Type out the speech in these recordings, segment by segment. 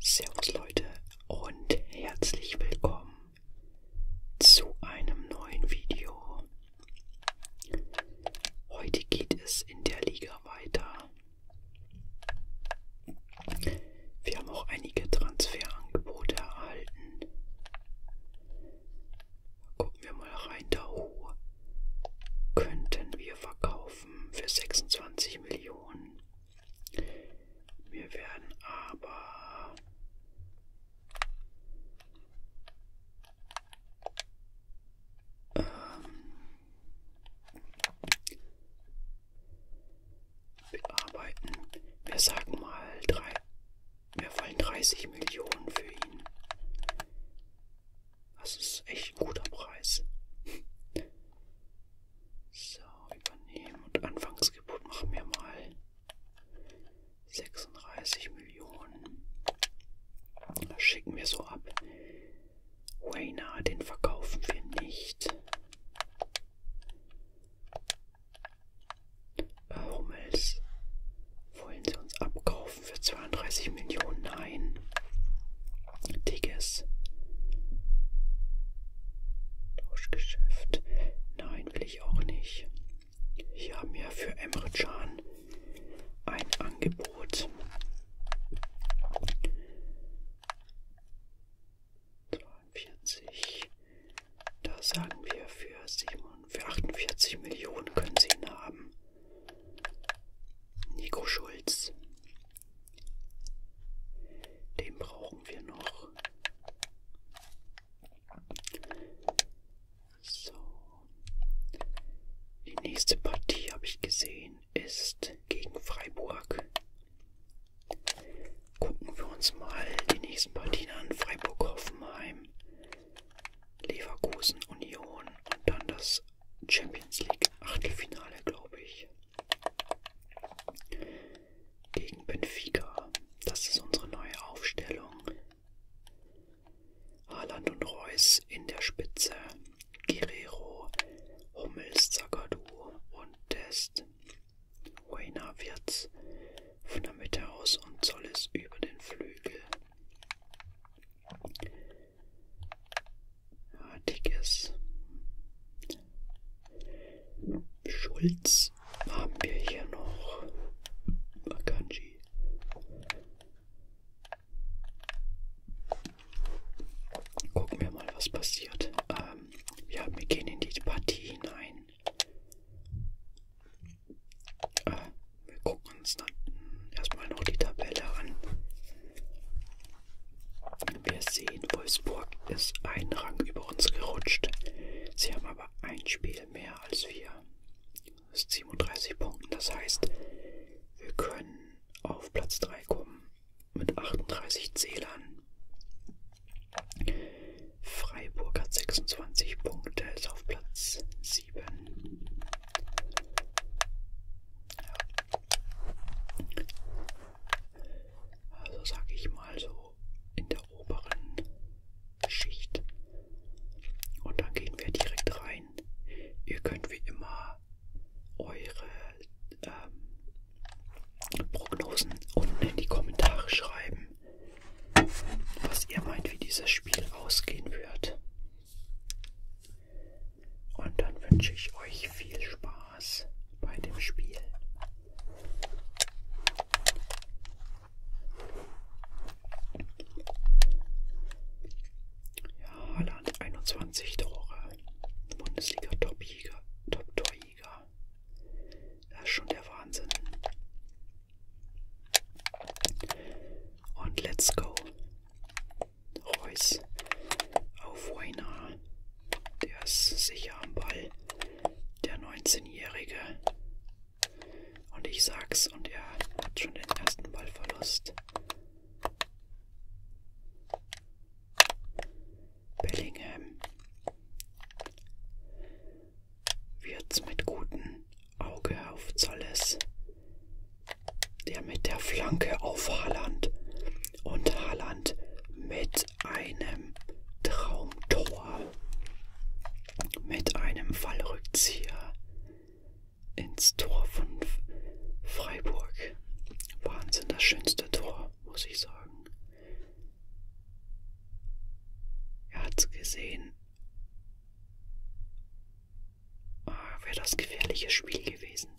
Servus Leute und herzlich willkommen zu einem neuen Video. Heute geht es in der Liga weiter. Wir haben auch einige Transferangebote erhalten. Gucken wir mal rein, da könnten wir verkaufen für 26 Millionen. Mir werden aber ähm, bearbeiten. Wir sagen mal drei. Mir fallen 30 Millionen für ihn. Das ist echt ein guter Preis. So, übernehmen und Anfangsgebot machen wir mal 36 Millionen. Das schicken wir so ab. Wayna, den verkaufen wir nicht. Äh, Hummels, wollen sie uns abkaufen für 32 Millionen? Nein. Digges. Tauschgeschäft. Nein, will ich auch nicht. Hier haben wir für Emre Can ein Angebot. 42. Da sagen wir für, 7, für 48 Millionen können Sie ihn haben. Nico Schulz. Den brauchen wir noch. So. Die nächste Partie habe ich gesehen ist gegen Freiburg. Gucken wir uns mal die nächsten Partien an. Freiburg Hoffenheim, Leverkusen Union und dann das Champions League Achtelfinale, glaube ich. Gegen Benfica. Das ist unsere neue Aufstellung. Haaland und Reus in der Spitze. Guerrero, Hummels, Zagadou und Test. Weiner wird von der Mitte aus und Zolles über den Flügel. Dickes. Schulz haben wir hier noch. Akanji. Gucken wir mal, was passiert. Ähm, ja, wir gehen in die Partie hinein. Äh, wir gucken uns dann erstmal noch die Tabelle an. Wir sehen, Wolfsburg ist einen Rang über uns gerutscht. Sie haben aber ein Spiel mehr als wir. Das ist 37 Punkten, das heißt, wir können auf Platz 3 kommen mit 38 Zählern. Freiburg hat 26 Punkte, ist auf Platz 7. Ja, also sage ich mal so in der oberen Schicht. Und dann gehen wir direkt rein. Ihr könnt wie immer eure ähm, Prognosen unten in die Kommentare schreiben, was ihr meint, wie dieses Spiel ausgehen wird. Und dann wünsche ich euch viel Spaß bei dem Spiel. Ja, Holland 21 Tore. Bundesliga Top-Torjäger. Top das ist schon der Wahnsinn. Und let's go. Reus auf Weiner. Der ist sicher am Ball. Der 19-Jährige. Und ich sag's, und er hat schon den ersten Ballverlust. Bellingham wird's mit gutem Auge auf Zolles der mit der Flanke auf Haaland. Und Haaland mit einem Traumtor. Mit einem Fallrückzieher ins Tor von Freiburg. Wahnsinn, das schönste Tor, muss ich sagen. Er hat's gesehen. Ah, wäre das gefährliches Spiel gewesen.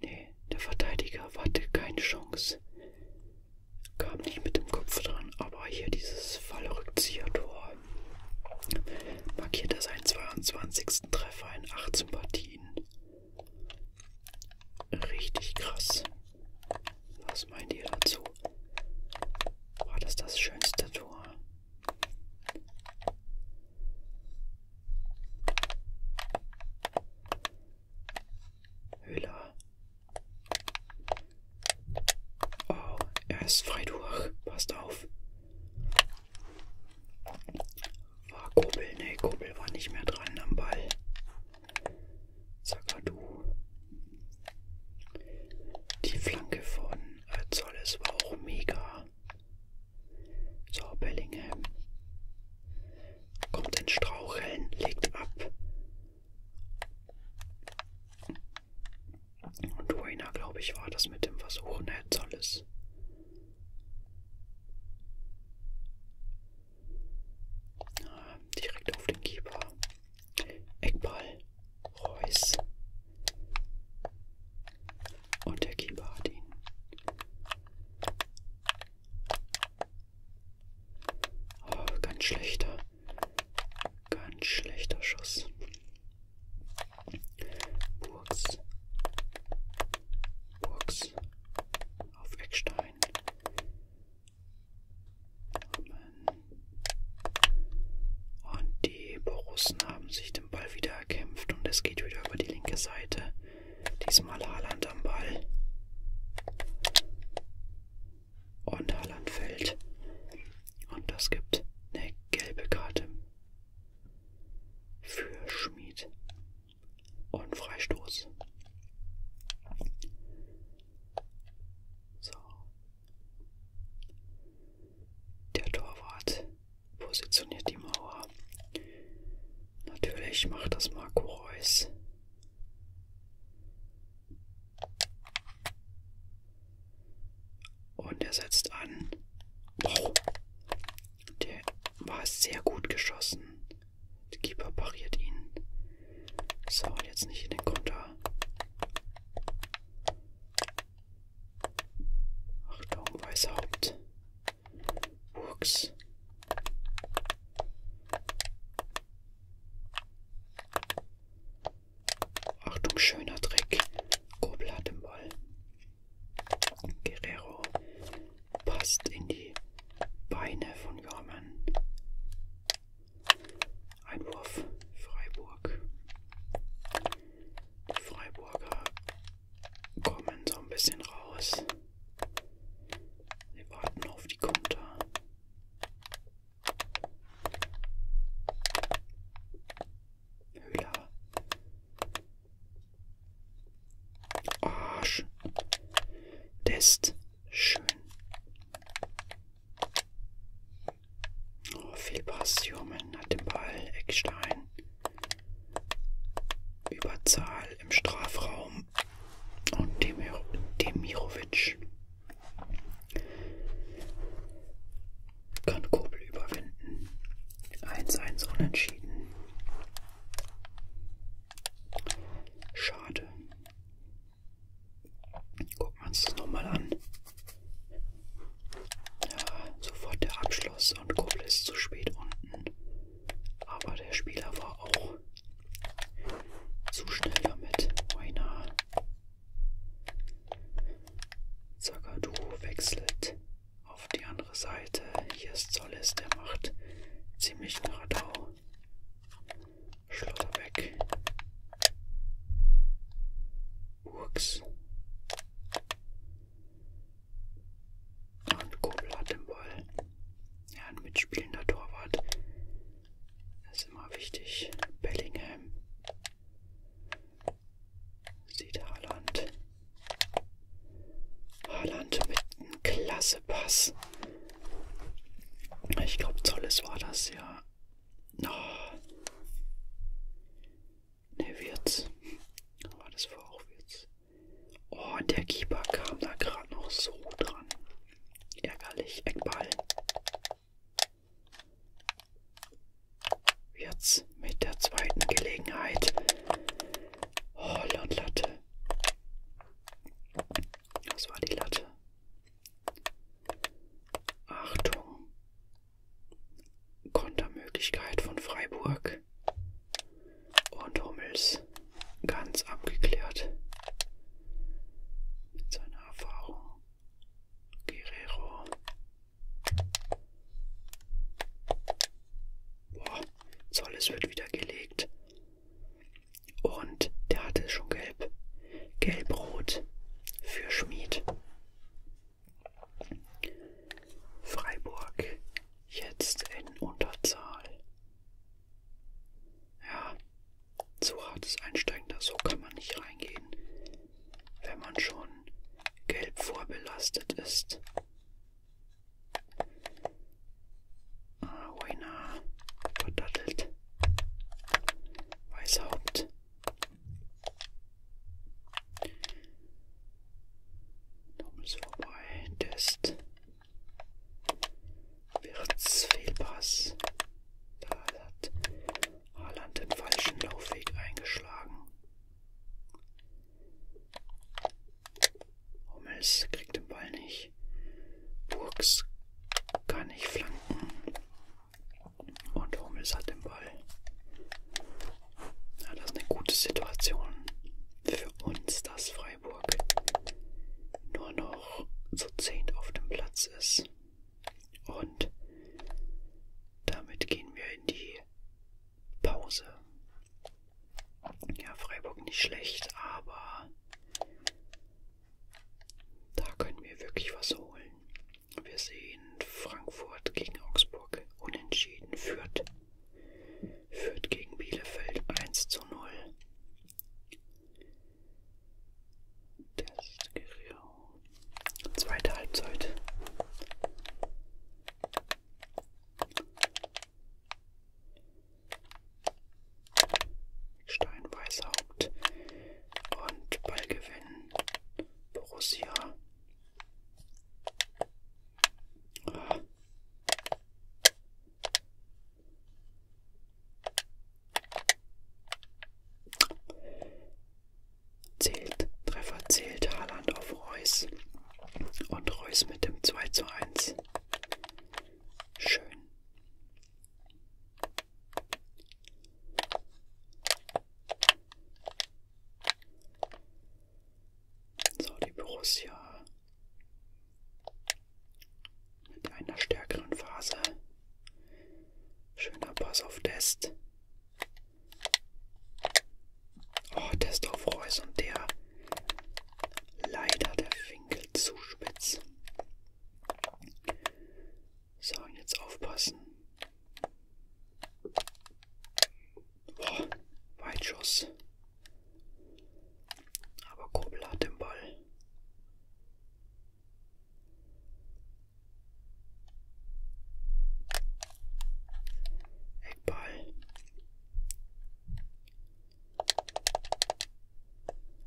Nee, der Verteidiger hatte keine Chance. Kam nicht mit dem Kopf dran, aber hier dieses Fallrückzieher-Tor markierte seinen 22. Treffer in 18 Partien. Richtig krass. Was meint ihr dazu? War das das schönste Tor Höhler. Oh, er ist frei durch. Passt auf. War Kobel? Nee, Kobel war nicht mehr dran am Ball. Sagadu. Die Flanke von als alles war auch mega. So, Bellingham kommt in Straucheln, legt ab. Und Rainer, glaube ich, war das mit dem Versuchen, ne? Herzolis. Ah, direkt auf den Keeper. Eckball. Reus. Und der Keeper hat ihn. Oh, ganz schlechter. Ganz schlechter Schuss. Burgs. Burgs. Auf Eckstein. Amen. Und die Borussen haben sich den Ball wieder erkämpft und es geht wieder über die linke Seite. Diesmal Haaland am Ball. Und Haaland fällt. Und das gibt eine gelbe Karte für Schmied. Und Freistoß. So, der Torwart positioniert die Mauer. Natürlich macht das Marco Reus. Und er setzt an. Oh, der war sehr gut geschossen. Der Keeper pariert ihn. So, und jetzt nicht in den Konter. Achtung, Weißhaupt. Burgs. Achtung, schöner Dreck. Kobel hat den Ball. Guerrero passt in die Beine von Jormann. Einwurf Freiburg. Die Freiburger kommen so ein bisschen raus. Sie warten auf die Konter. Höhler. Arsch. Test. Schön. Oh, viel Pass, Jürgen hat den Ball, Eckstein. Überzahl im Strafraum. Und Demir Demirovic kann Kobel überwinden. 1-1 unentschieden. Schade. Gucken wir uns das nochmal an. Ja, sofort der Abschluss und Kuppel ist zu spät unten. Aber der Spieler war auch zu schnell damit. Weiner. Zagadu wechselt auf die andere Seite. Hier ist Zolles, der macht ziemlich Radau. Schlotterbeck, Urks und Kobel hat den Ball. Ja, ein mitspielender Torwart. Das ist immer wichtig. Bellingham. Sieht Haaland. Haaland mit einem klasse Pass. Ich glaube, Zolles war das ja. Oh. Ne, Wirtz. Aber das war auch Wirtz. Oh, und der Keeper kam da gerade noch so dran. Ärgerlich. Eckball. Jetzt mit der zweiten Gelegenheit. Oh, Latte. Das war die Latte. Achtung. Kontermöglichkeit von Freiburg. Und Hummels ganz abgeklärt. Mit seiner Erfahrung. Guerrero. Boah, Zolles wird wieder gelegt. Und der hatte schon gelb. Gelbrot für Schmied. Freiburg jetzt in Unterzahl. Ja, so hartes Einsteigen, da so kann man nicht reingehen, wenn man schon gelb vorbelastet ist. Ah, Weiner verdattelt. Weißhaupt. Dumm ist vorbei. Test. Wirtz Fehlpass. Da hat Haaland den falschen Laufweg eingeschlagen. Hummels kriegt den Ball nicht. Burgs kann nicht flanken. Und Hummels hat den Ball. Ja, das ist eine gute Situation für uns, dass Freiburg nur noch zu zehnt auf dem Platz ist. Und damit gehen wir in die Pause. Ja, Freiburg nicht schlecht, aber da können wir wirklich was holen. Wir sehen Frankfurt gegen Augsburg unentschieden führt. Führt gegen Bielefeld 1 zu 0. Das ist Guerrero. Zweite Halbzeit. Steinweißhaupt und Ballgewinn Borussia. Ah. Zählt, Treffer zählt Haaland auf Reus und Reus mit dem 2 zu 1. Schön. So, die Borussia mit einer stärkeren Phase. Schöner Pass auf Test. Oh, Test auf Reus und der leider der Winkel zu spitz. So, und jetzt aufpassen. Boah, Weitschuss. Aber Kobel hat den Ball. Eckball.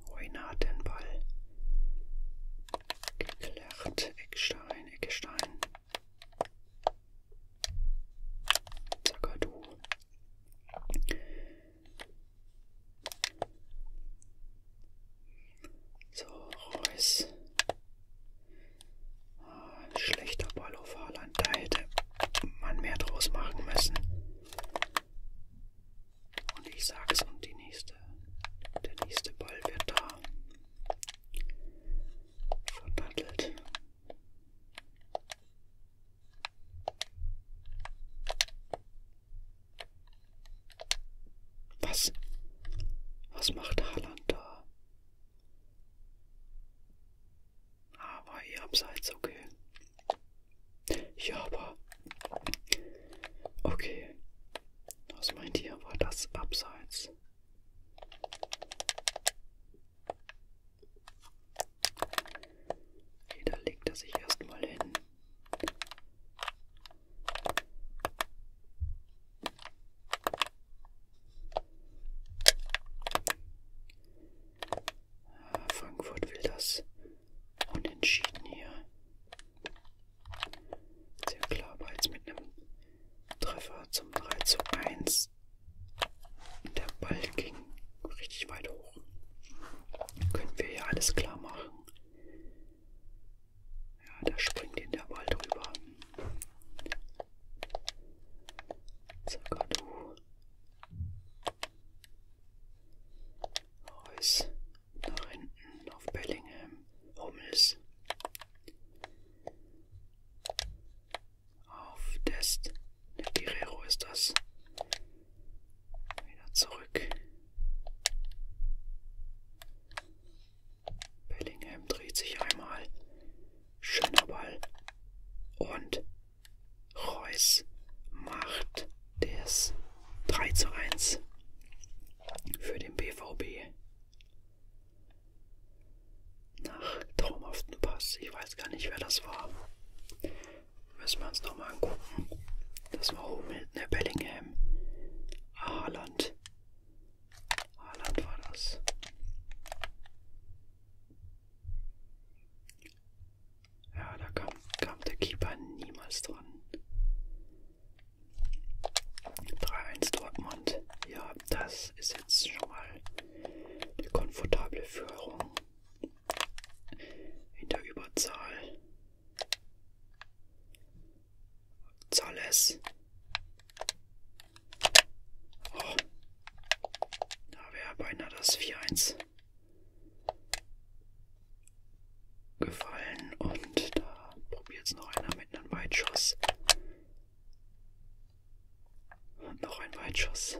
Reiner hat den Ball. Geklärt. Eckstein, Eckstein. Zagadou. So, Reus. Ah, schlechter Ball auf Haaland. Da hätte man mehr draus machen müssen. Und ich sag's und die nächste, der nächste Ball wird da verdattelt. Was? Was macht Haaland da? Ah, war eh abseits, halt okay. Ja, aber. Okay. Was meint ihr? War das abseits? Okay, da legt er sich erstmal hin. Frankfurt will das Unentschieden hier. Sehr klar, aber jetzt mit einem Treffer zum 3 zu 1. Der Ball ging richtig weit hoch. Können wir hier alles klar machen. Ja, da springt ihn der Ball drüber. Sagadu. Reus nach hinten auf Bellingham, Hummels auf Test, ne Guerrero ist das, wieder zurück, Bellingham dreht sich einmal, schöner Ball und Reus macht das 3 zu 1 für den BVB. Nach traumhaften Pass. Ich weiß gar nicht, wer das war. Müssen wir uns nochmal angucken. Das war oben hinten der Bellingham. Ah, Haaland. Haaland war das. Ja, da kam, kam der Keeper niemals dran. 3-1 Dortmund. Ja, das ist jetzt schon mal eine komfortable Führung. In der Überzahl. Zales. Oh. Da wäre beinahe das 4-1 gefallen und da probiert es noch einer mit einem Weitschuss. Und noch ein Weitschuss.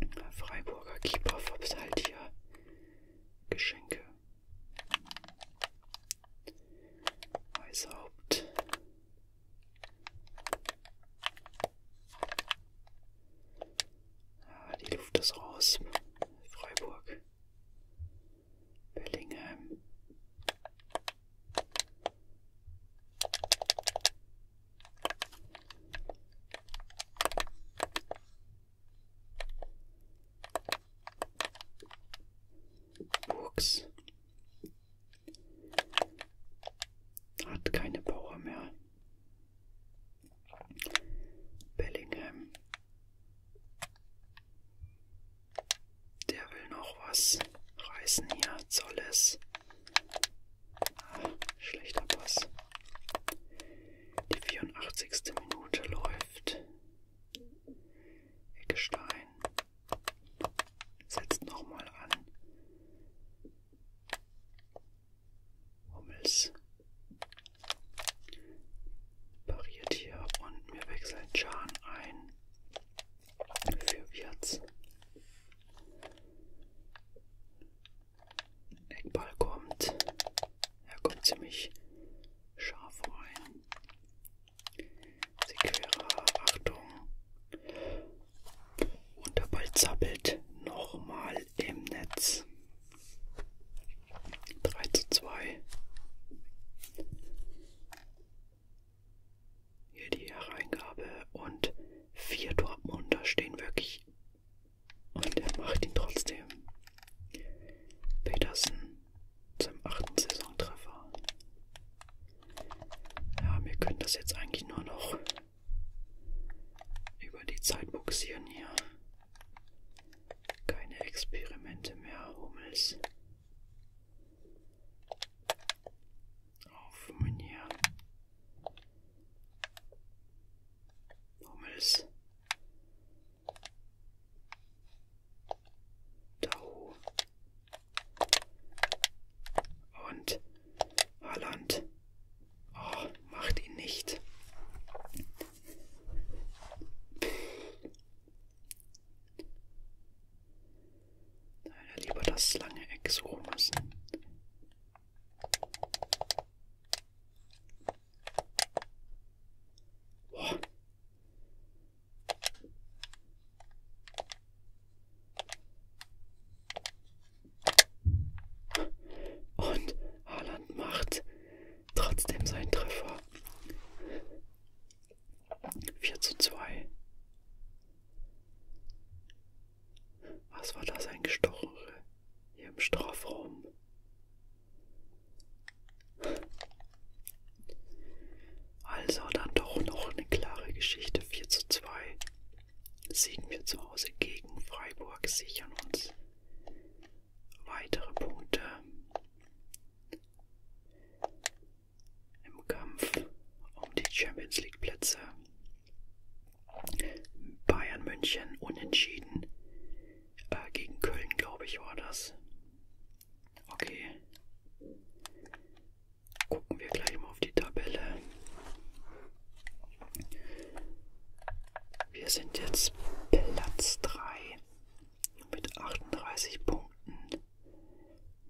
Der Freiburger Keeper verteilt halt hier Geschenke. Weißhaupt Ah, die Luft ist raus. Freiburg. Bellingham. Burgs. Hat keine Power mehr. Bellingham. Der will noch was reißen hier. Zolles. Ah, schlechter Pass. Die 84. Minute läuft. Eckestein. Setzt nochmal an. Hummels pariert hier und wir wechseln Chan ein für Wirtz. Eckball kommt. Er kommt ziemlich scharf rein. Sekera, Achtung. Und der Ball zappelt nochmal im Netz. 3 zu 2. Hier die Hereingabe und vier Dortmunder stehen wirklich. Und er macht ihn trotzdem. Petersen zum achten Saisontreffer. Ja, wir können das jetzt eigentlich nur noch über die Zeit boxieren hier. Keine Experimente mehr, Hummels. Auf Menier. Hummels. Tau. Und Haaland oh, macht ihn nicht. Da hätte lieber das lange Eck suchen müssen. Oh, und Haaland macht trotzdem seinen Treffer. 4 zu 2. Was war das ein Gestochere hier im Strafraum? Also dann doch noch eine klare Geschichte 4 zu 2. Siegen wir zu Hause gegen Freiburg, sichern uns weitere Punkte im Kampf um die Champions League Plätze. Bayern München unentschieden äh, gegen Köln, glaube ich, war das. Okay. Gucken wir gleich mal auf die Tabelle. Wir sind jetzt Platz 3 mit 38 Punkten.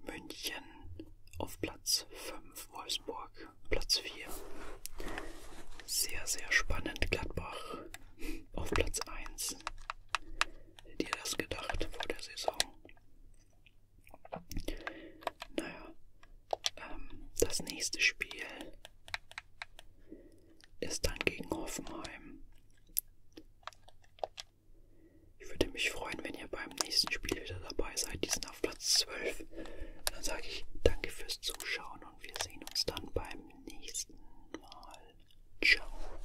München auf Platz 5, Wolfsburg Platz 4. Sehr, sehr spannend, Gladbach auf Platz 1. Hättet ihr das gedacht vor der Saison? Naja, ähm, das nächste Spiel ist dann gegen Hoffenheim. Ich würde mich freuen, wenn ihr beim nächsten Spiel wieder dabei seid. Die sind auf Platz 12. Dann sage ich danke fürs Zuschauen und wir sehen uns dann beim nächsten Mal. Ciao.